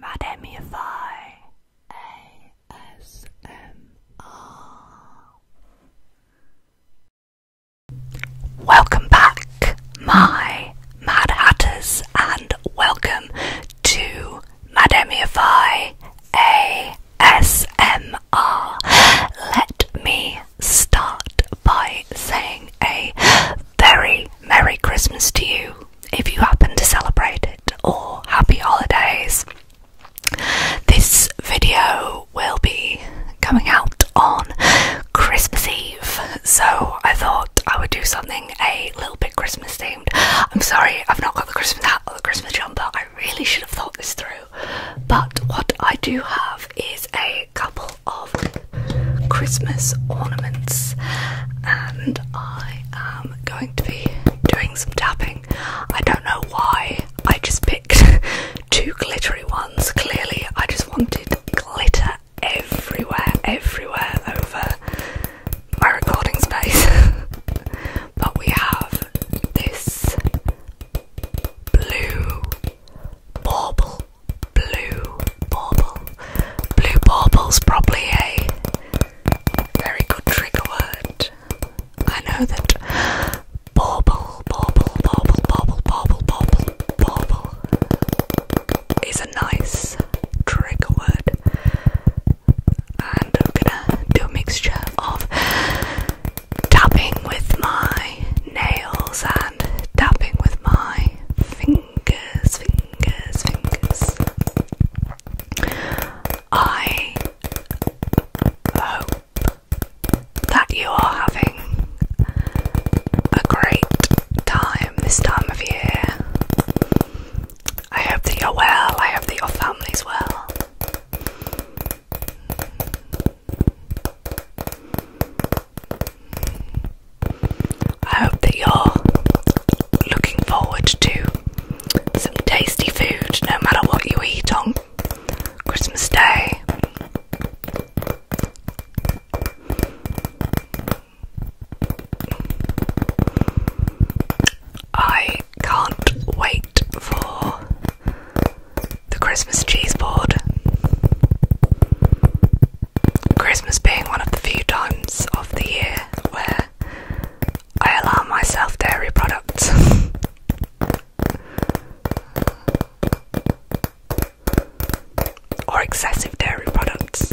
Madamify ASMR. Welcome back, my Mad Hatters, and welcome to Madamify ASMR. Let me start by saying a very Merry Christmas to you if you happen to celebrate it, or Happy Holidays. This video will be coming out on Christmas Eve, so I thought I would do something a little bit Christmas themed. I'm sorry, I've not got the Christmas hat or the Christmas jumper, I really should have thought this through. But what I do have is a couple of Christmas ornaments, and I am going to be doing some tapping. I don't know why I just picked two glittery ones. Clearly, I just wanted glitter everywhere, everywhere over my recording space. but we have this blue bauble blue bauble. Blue bauble's probably a very good trigger word. I know that bauble, bauble, bauble, bauble, bauble, bauble, bauble is a nice trigger word. And I'm gonna do a mixture of tapping with my nails and tapping with my fingers, fingers. I hope that you are having a great time this time of year. I hope that you're well, I hope that your family's well. I hope that you're looking forward to some tasty food no matter what you eat on Christmas Day. I can't wait for the Christmas cheese board. Christmas being one of the few times of the year where I allow myself dairy products. or excessive dairy products.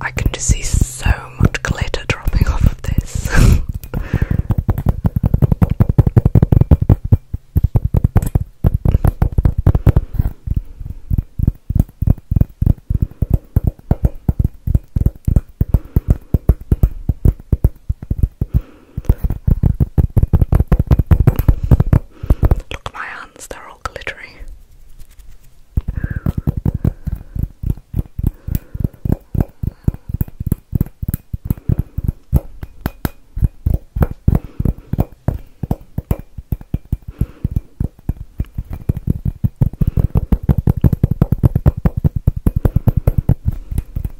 I can just see so much glitter dropping off of this. Look at my hands, they're all glittery.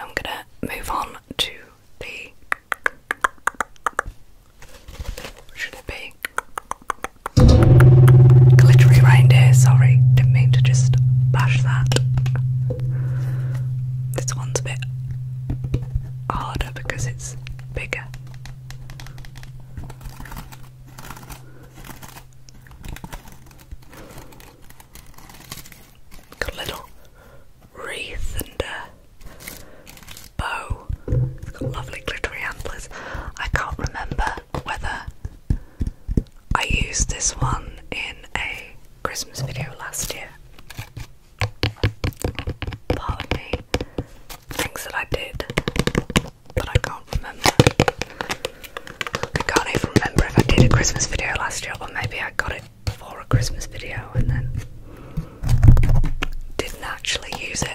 I'm gonna move on to the should it be glittery reindeer? Sorry, didn't mean to just bash that. This one's a bit harder because it's bigger. Got a little wreath and a bow. It's got lovely glittery antlers. I can't remember whether I used this one in a Christmas video last year part of me thinks that I did, but I can't remember. I can't even remember if I did a Christmas video last year, or maybe I got it for a Christmas video and then didn't actually use it.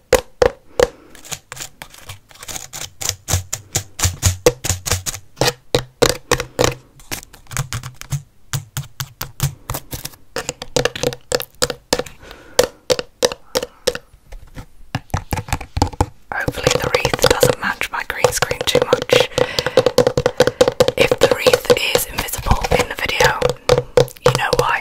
Hopefully, the wreath doesn't match my green screen too much. If the wreath is invisible in the video, you know why.